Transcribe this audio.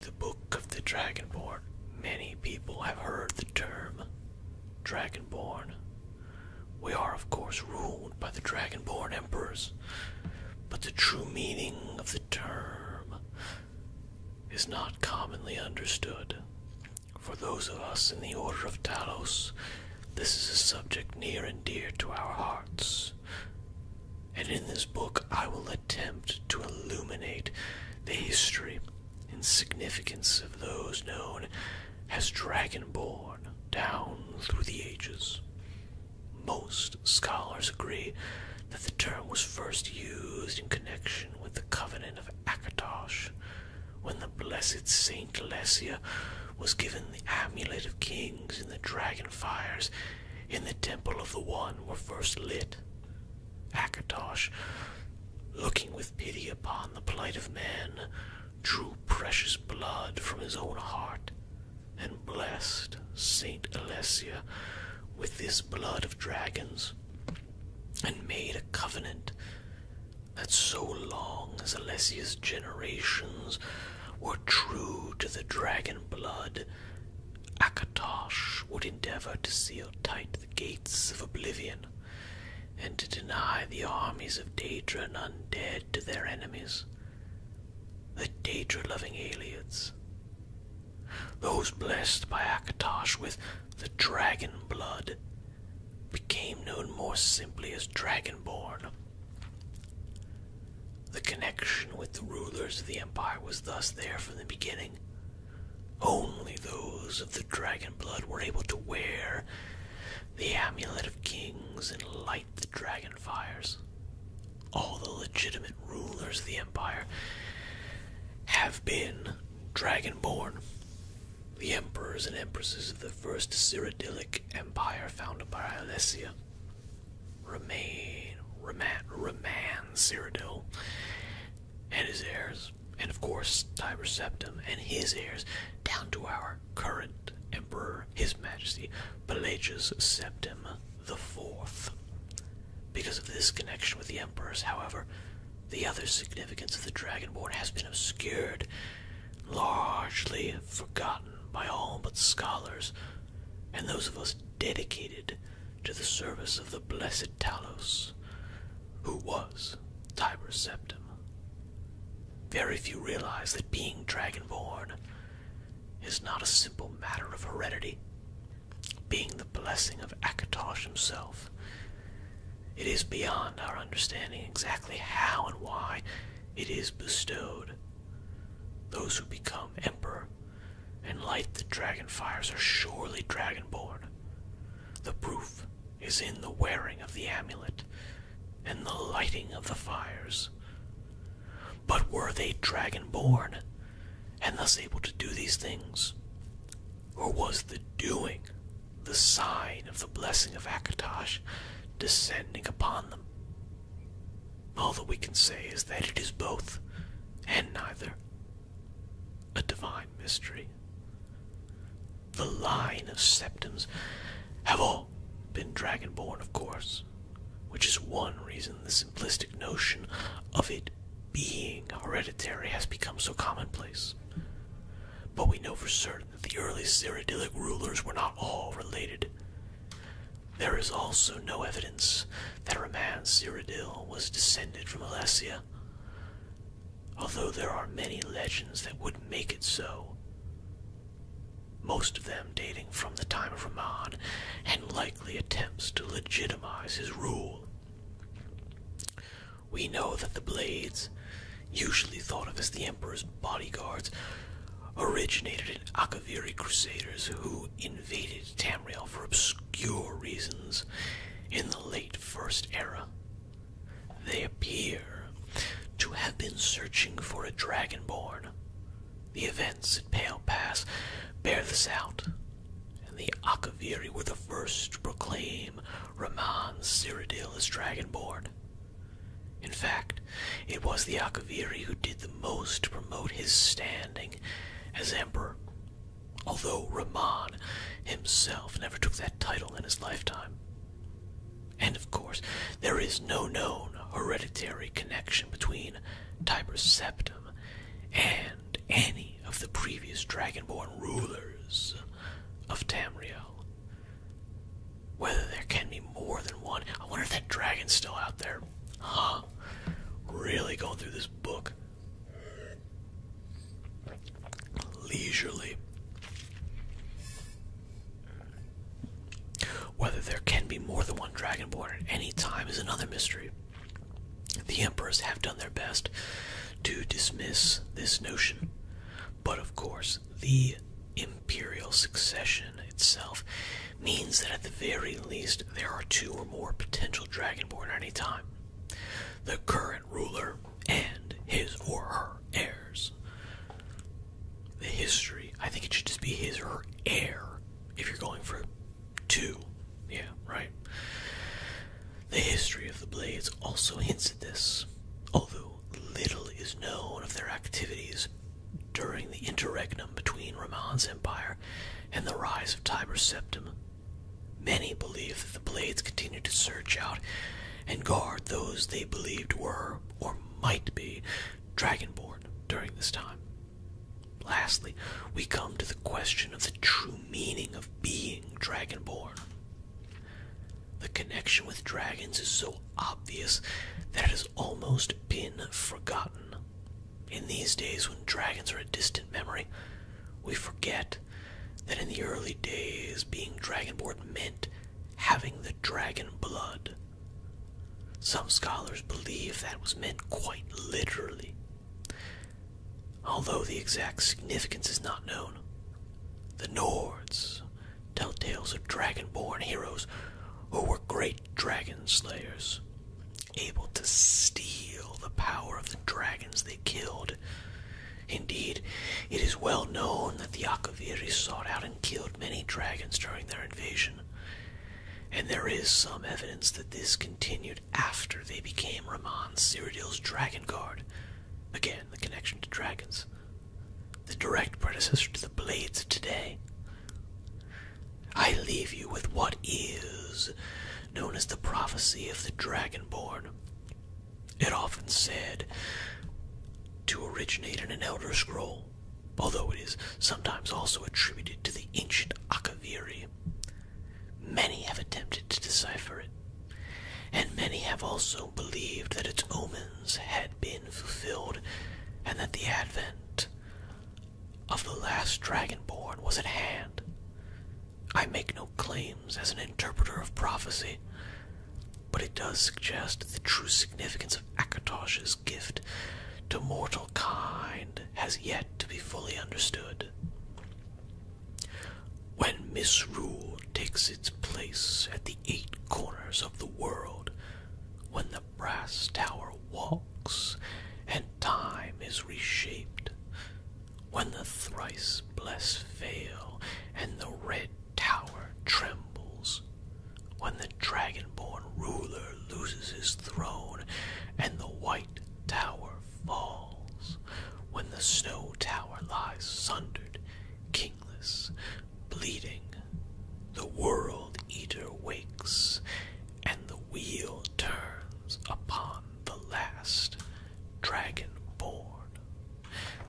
The Book of the Dragonborn. Many people have heard the term Dragonborn. We are, of course, ruled by the Dragonborn emperors, but the true meaning of the term is not commonly understood. For those of us in the Order of Talos, this is a subject near and dear to our hearts. And in this book, I will attempt to illuminate the history and significance of those known as Dragonborn down through the ages. Most scholars agree that the term was first used in connection with the Covenant of Akatosh, when the blessed Saint Alessia was given the amulet of kings in the Dragonfires in the temple of the One were first lit. Akatosh, looking with pity upon the plight of man, drew precious blood from his own heart, and blessed Saint Alessia with this blood of dragons, and made a covenant that so long as Alessia's generations were true to the dragon blood, Akatosh would endeavor to seal tight the gates of oblivion and to deny the armies of Daedra undead to their enemies, the Daedra loving aliens. Those blessed by Akatosh with the dragon blood became known more simply as Dragonborn. The connection with the rulers of the empire was thus there from the beginning. Only those of the dragon blood were able to wear the amulet of kings and light the dragon fires. All the legitimate rulers of the empire have been dragonborn. The emperors and empresses of the first Cyrodiilic empire founded by Alessia remain, Roman, Roman Cyrodiil, and his heirs, and of course Tyreceptum and his heirs, down to our current Emperor, His Majesty Pelagius Septim the Fourth. Because of this connection with the emperors, however, the other significance of the Dragonborn has been obscured, largely forgotten by all but scholars and those of us dedicated to the service of the blessed Talos, who was Tiber Septim. Very few realize that being dragonborn is not a simple matter of heredity. Being the blessing of Akatosh himself it is beyond our understanding exactly how and why it is bestowed. Those who become emperor and light the dragon fires are surely dragon-born. The proof is in the wearing of the amulet and the lighting of the fires. But were they dragon-born and thus able to do these things? Or was the doing the sign of the blessing of Akatosh descending upon them. All that we can say is that it is both and neither a divine mystery. The line of septims have all been dragonborn, of course, which is one reason the simplistic notion of it being hereditary has become so commonplace. But we know for certain that the early Cyrodiilic rulers were not all related. There is also no evidence that Raman Cyrodiil was descended from Alessia, although there are many legends that would make it so. Most of them dating from the time of Raman and likely attempts to legitimize his rule. We know that the Blades, usually thought of as the Emperor's bodyguards, originated in Akaviri Crusaders who invaded Tamriel for obscure reasons in the late First Era. They appear to have been searching for a Dragonborn. The events at Pale Pass bear this out and the Akaviri were the first to proclaim Raman Cyrodiil as Dragonborn. In fact, it was the Akaviri who did the most to promote his standing as emperor, although Raman himself never took that title in his lifetime. And of course, there is no known hereditary connection between Tiber Septum and any of the previous Dragonborn rulers of Tamriel. Whether there can be more than one. I wonder if that dragon's still out there. Huh. Really going through this book. Leisurely. Whether there can be more than one Dragonborn at any time is another mystery. The emperors have done their best to dismiss this notion, but of course, the imperial succession itself means that at the very least there are two or more potential dragonborn at any time. The current ruler and his or her heirs. The history, I think it should just be his or her heir if you're going for 2. Yeah, right. The history of the Blades also hints at this, although little is known of their activities during the interregnum between Rahman's empire and the rise of Tiber Septim. Many believe that the Blades continued to search out and guard those they believed were, or might be, Dragonborn during this time. Lastly, we come to the question of the true meaning of being dragonborn. The connection with dragons is so obvious that it has almost been forgotten. In these days when dragons are a distant memory, we forget that in the early days being dragonborn meant having the dragon blood. Some scholars believe that was meant quite literally, although the exact significance is not known. The Nords tell tales of dragon-born heroes who were great dragon slayers, able to steal the power of the dragons they killed. Indeed, it is well known that the Akaviri sought out and killed many dragons during their invasion, and there is some evidence that this continued after they became Ramon Cyrodiil's dragon guard. Again, the connection to dragons. The direct predecessor to the blades of today. I leave you with what is known as the prophecy of the dragonborn. It often said to originate in an Elder Scroll although it is sometimes also attributed to the ancient Akaviri. Many have attempted to decipher it, and many have also believed that its omens had been fulfilled and that the advent of the last dragon born was at hand. I make no claims as an interpreter of prophecy, but it does suggest that the true significance of Akatosh's gift to mortal kind has yet to be fully understood. When misrule takes its place at the eight corners of the world, when the brass tower walks and time is reshaped, when the thrice blessed veil and the red tower trembles, when the dragonborn ruler loses his throne and the white tower falls, when the snow tower lies sundered, kingless, bleeding, the world eater wakes, and the wheel turns upon the last dragonborn.